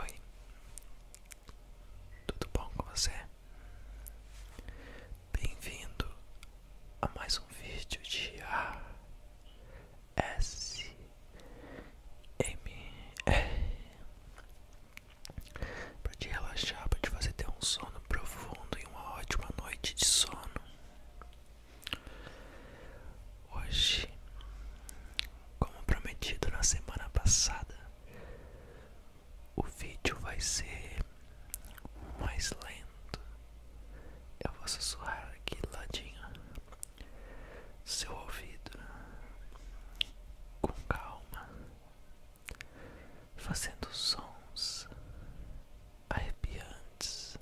Oi, tudo bom com você? Bem-vindo a mais um vídeo de A S M para te relaxar, para te fazer ter um sono profundo e uma ótima noite de sono. Hoje, como prometido na semana passada, o vídeo vai ser mais lento. Eu vou sussurrar aqui do ladinho seu ouvido com calma fazendo sons arrepiantes,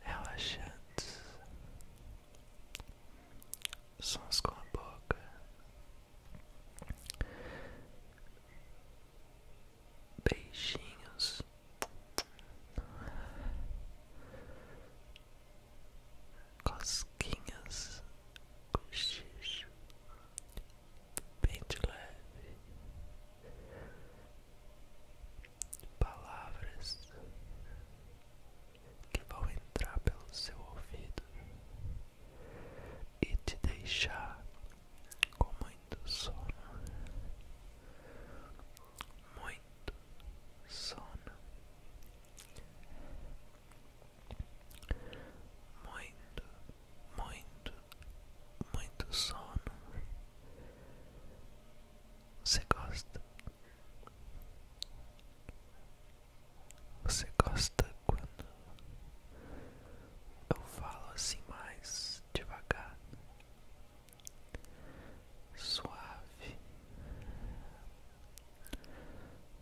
relaxantes, sons com a boca. Beijinhos cosquinhas, cochicho, bem de leve, palavras que vão entrar pelo seu ouvido e te deixar com muito sono, muito sono muito, muito, muito sono. Você gosta? Você gosta quando eu falo assim mais devagar, suave,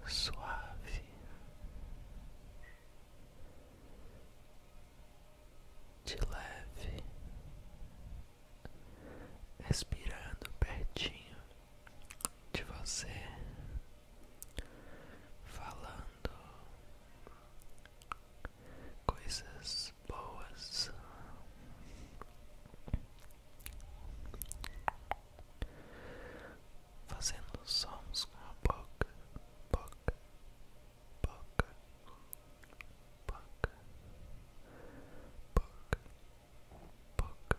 suave, de leve, respirando pertinho de você, falando coisas boas fazendo sons com a boca, boca, boca, boca, boca, boca. Boca,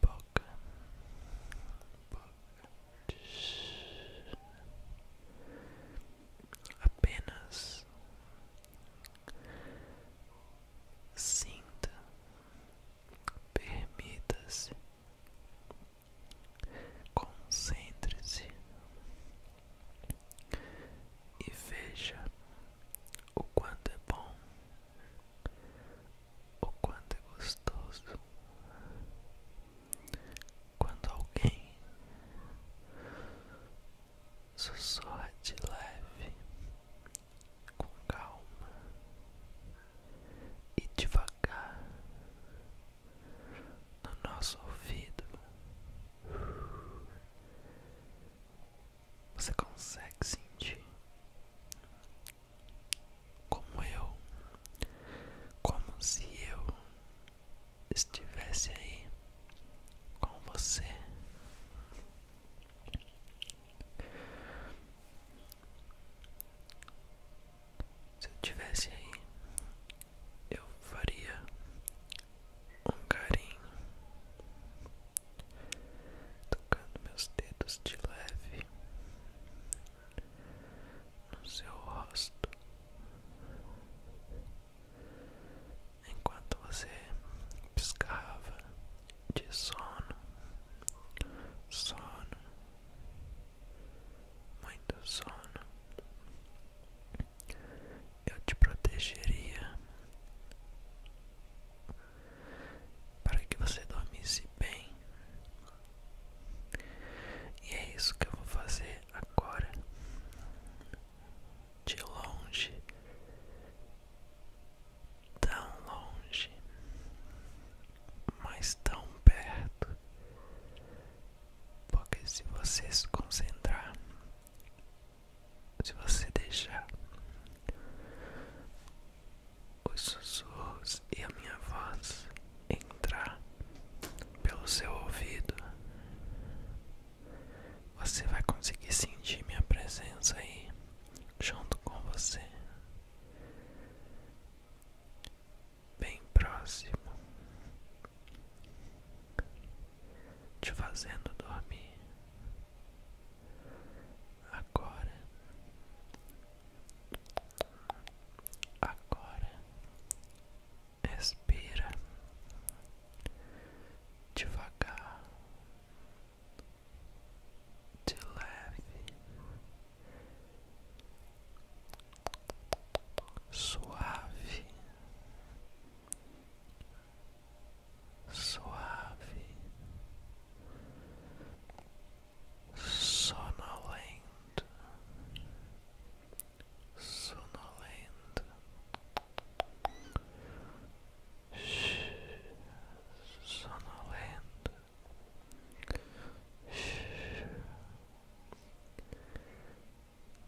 boca, apenas sinta, permita-se, concentre-se e veja o quanto é bom, o quanto é gostoso quando alguém sussurra de leve, com calma e devagar no nosso ouvido. Você consegue sentir como eu, como se eu estivesse aí com você. Se eu estivesse aí, eu faria um carinho, tocando meus dedos de leve no seu rosto enquanto você piscava de sono, sono, muito sono, eu te protegeria para que você dormisse bem. E é isso que eu vou fazer agora de longe, tão longe, mas tão perto, porque se você se concentrar, se você deixar, os sussurros e a minha voz entrar pelo seu ouvido você vai conseguir sentir minha presença aí junto com você, bem próximo, te fazendo dormir agora, agora. Respira devagar, de leve, suave, suave, sonolento sonolento, sonolento,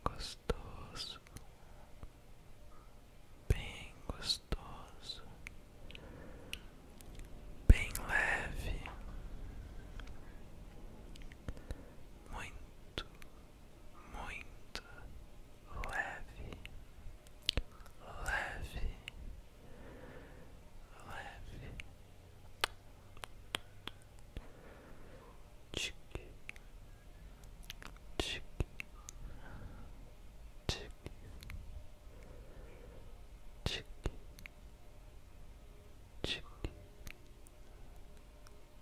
gostoso, bem gostoso, bem leve. Muito muito leve, leve, leve, tic, tic, tic, tic,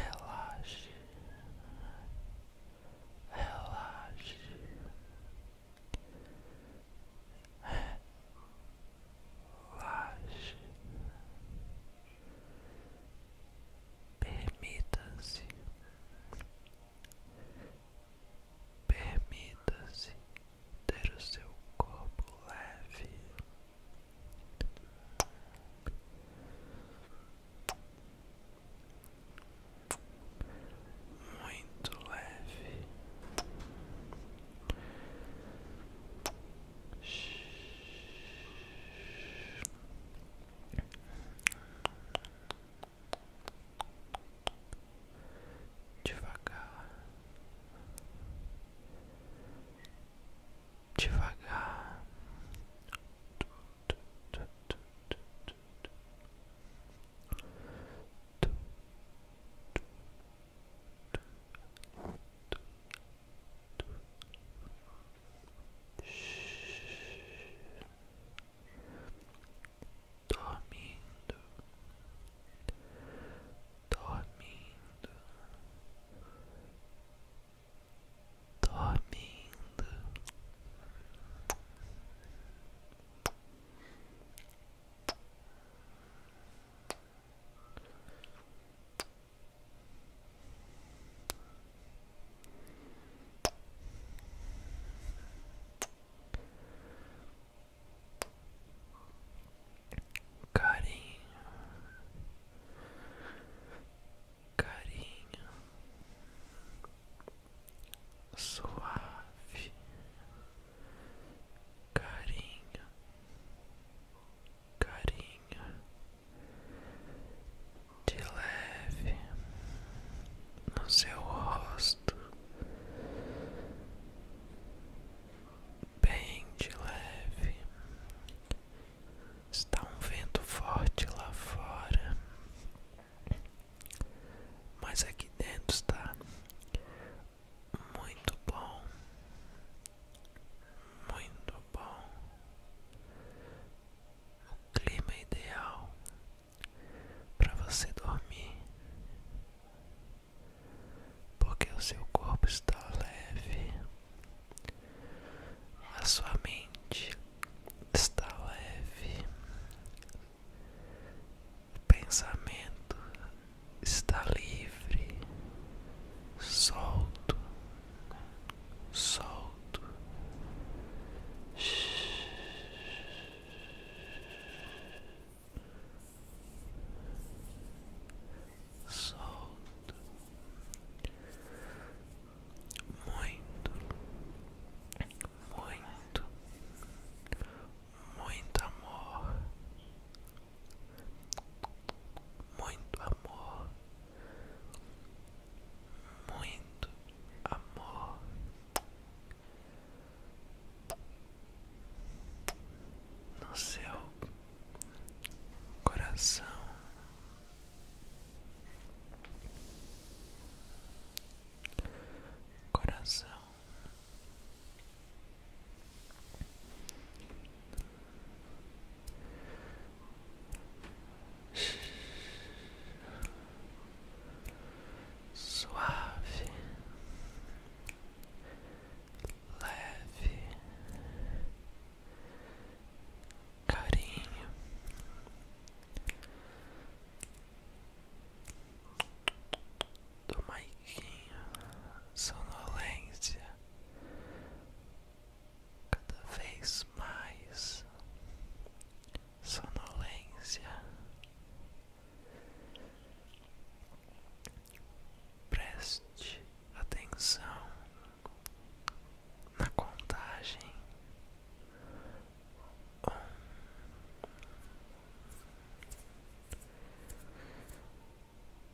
relaxe, relaxe, relaxe, permita-se, permita-se ter o seu corpo leve muito leve. Devagar, devagar. Dormindo, dormindo, lindo Carinho carinho suave, carinho, carinho de leve no seu rosto. Bem de leve Está um vento forte lá fora, mas aqui dentro está muito bom, muito bom. O clima ideal para você dormir, porque o seu corpo está leve. A sua mente está leve, o pensamento está livre, solto, solto. Solto, muito, muito, muito amor, muito amor, muito amor. No seu coração, coração, suave, leve carinho. Do Maiquinho, sonolência cada vez mais, sonolência, preste atenção na contagem um,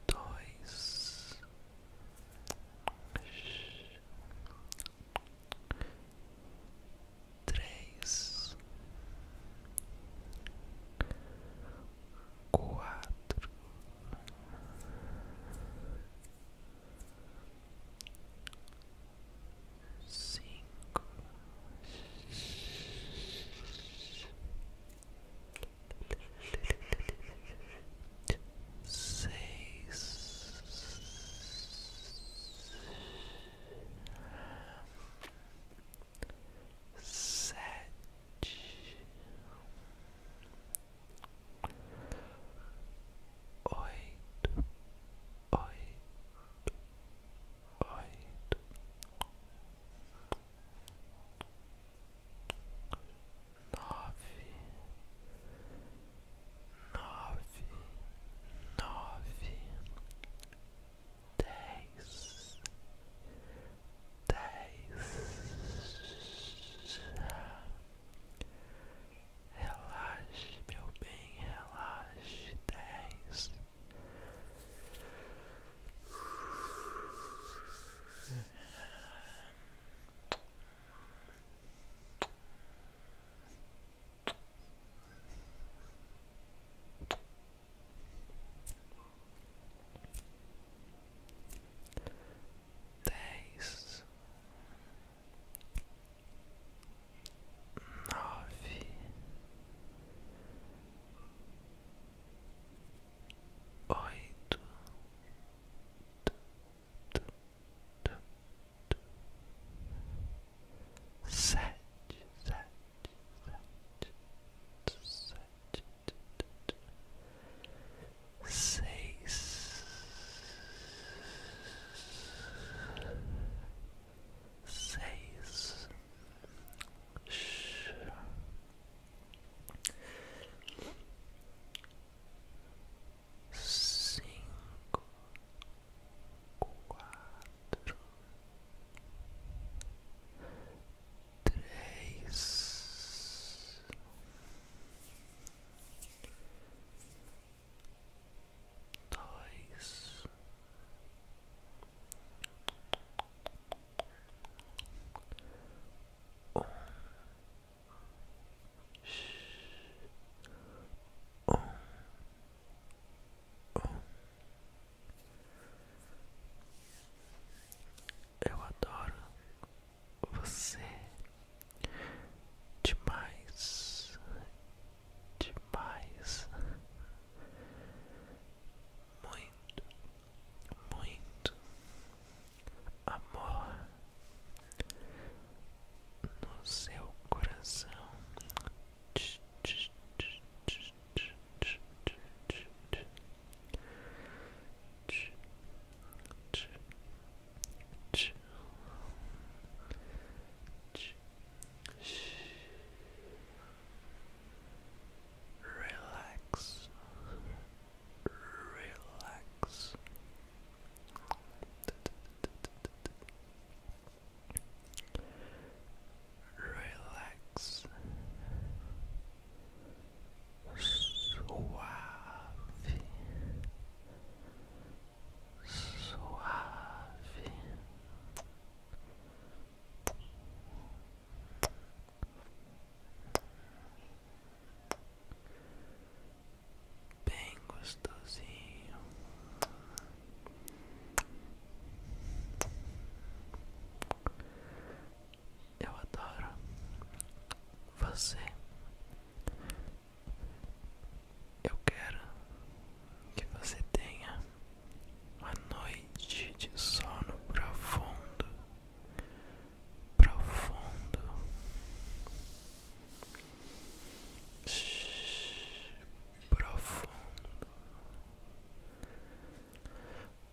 dois, três, quatro cinco, seis, sete oito, oito, oito, nove, nove, nove, dez dez. Relaxe, meu bem, relaxe. Dez dez, nove, oito, sete, sete, sete, seis, seis, cinco, quatro três, dois, um, um, um. Eu adoro você demais, demais, muito, muito amor no seu coração. Ch ch ch ch relax relax relax suave, suave, bem gostosinho. Eu adoro você. Eu quero que você tenha uma noite de sono profundo, profundo, profundo.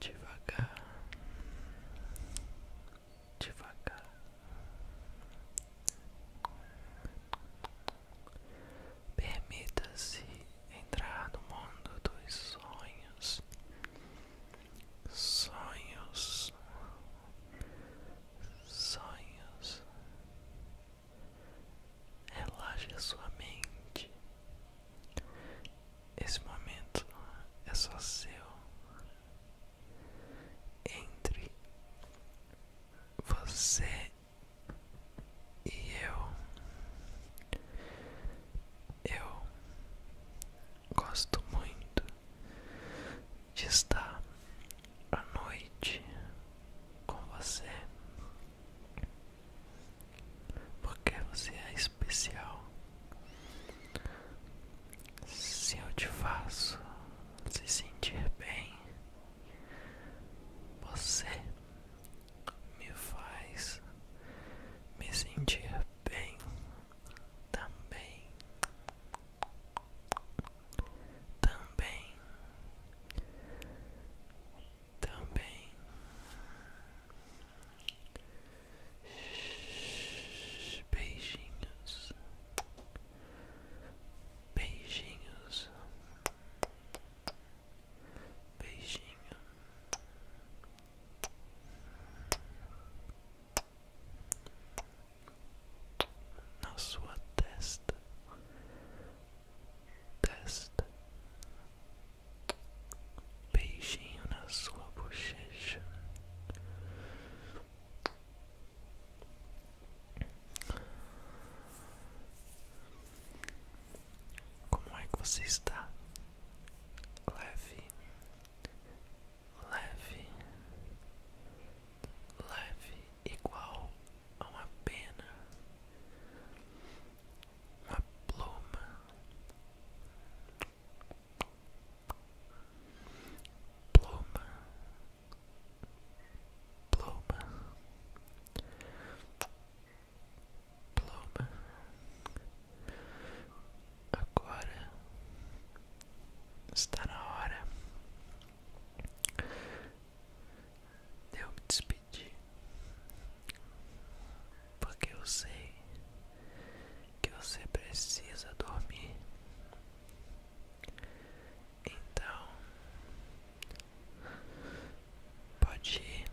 devagar, devagar, permita-se entrar no mundo dos sonhos, sonhos sonhos. Relaxe sua mente. Esse momento é só seu. Entre você e eu. Eu gosto muito de estar a noite com você, porque você é especial. Se eu te faço se sentir bem, você me faz me sentir bem também também, também beijinhos, beijinhos, beijinho na sua testa, testa, beijinho na sua bochecha. Como é que você está? Leve, leve, leve igual a uma pena, uma pluma, pluma, pluma, pluma. Agora Está na hora de eu me despedir, porque eu sei que você precisa dormir. Então, pode ir.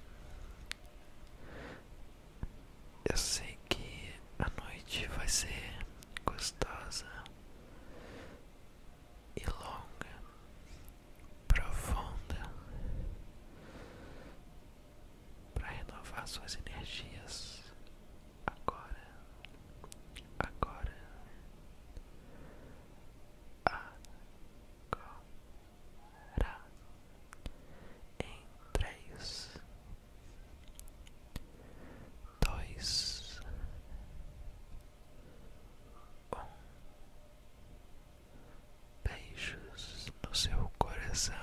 Eu sei que a noite vai ser gostosa e longa, profunda, para renovar suas energias agora, agora, agora, em três, dois, um. Beijos no seu coração.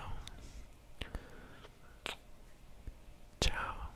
Tchau.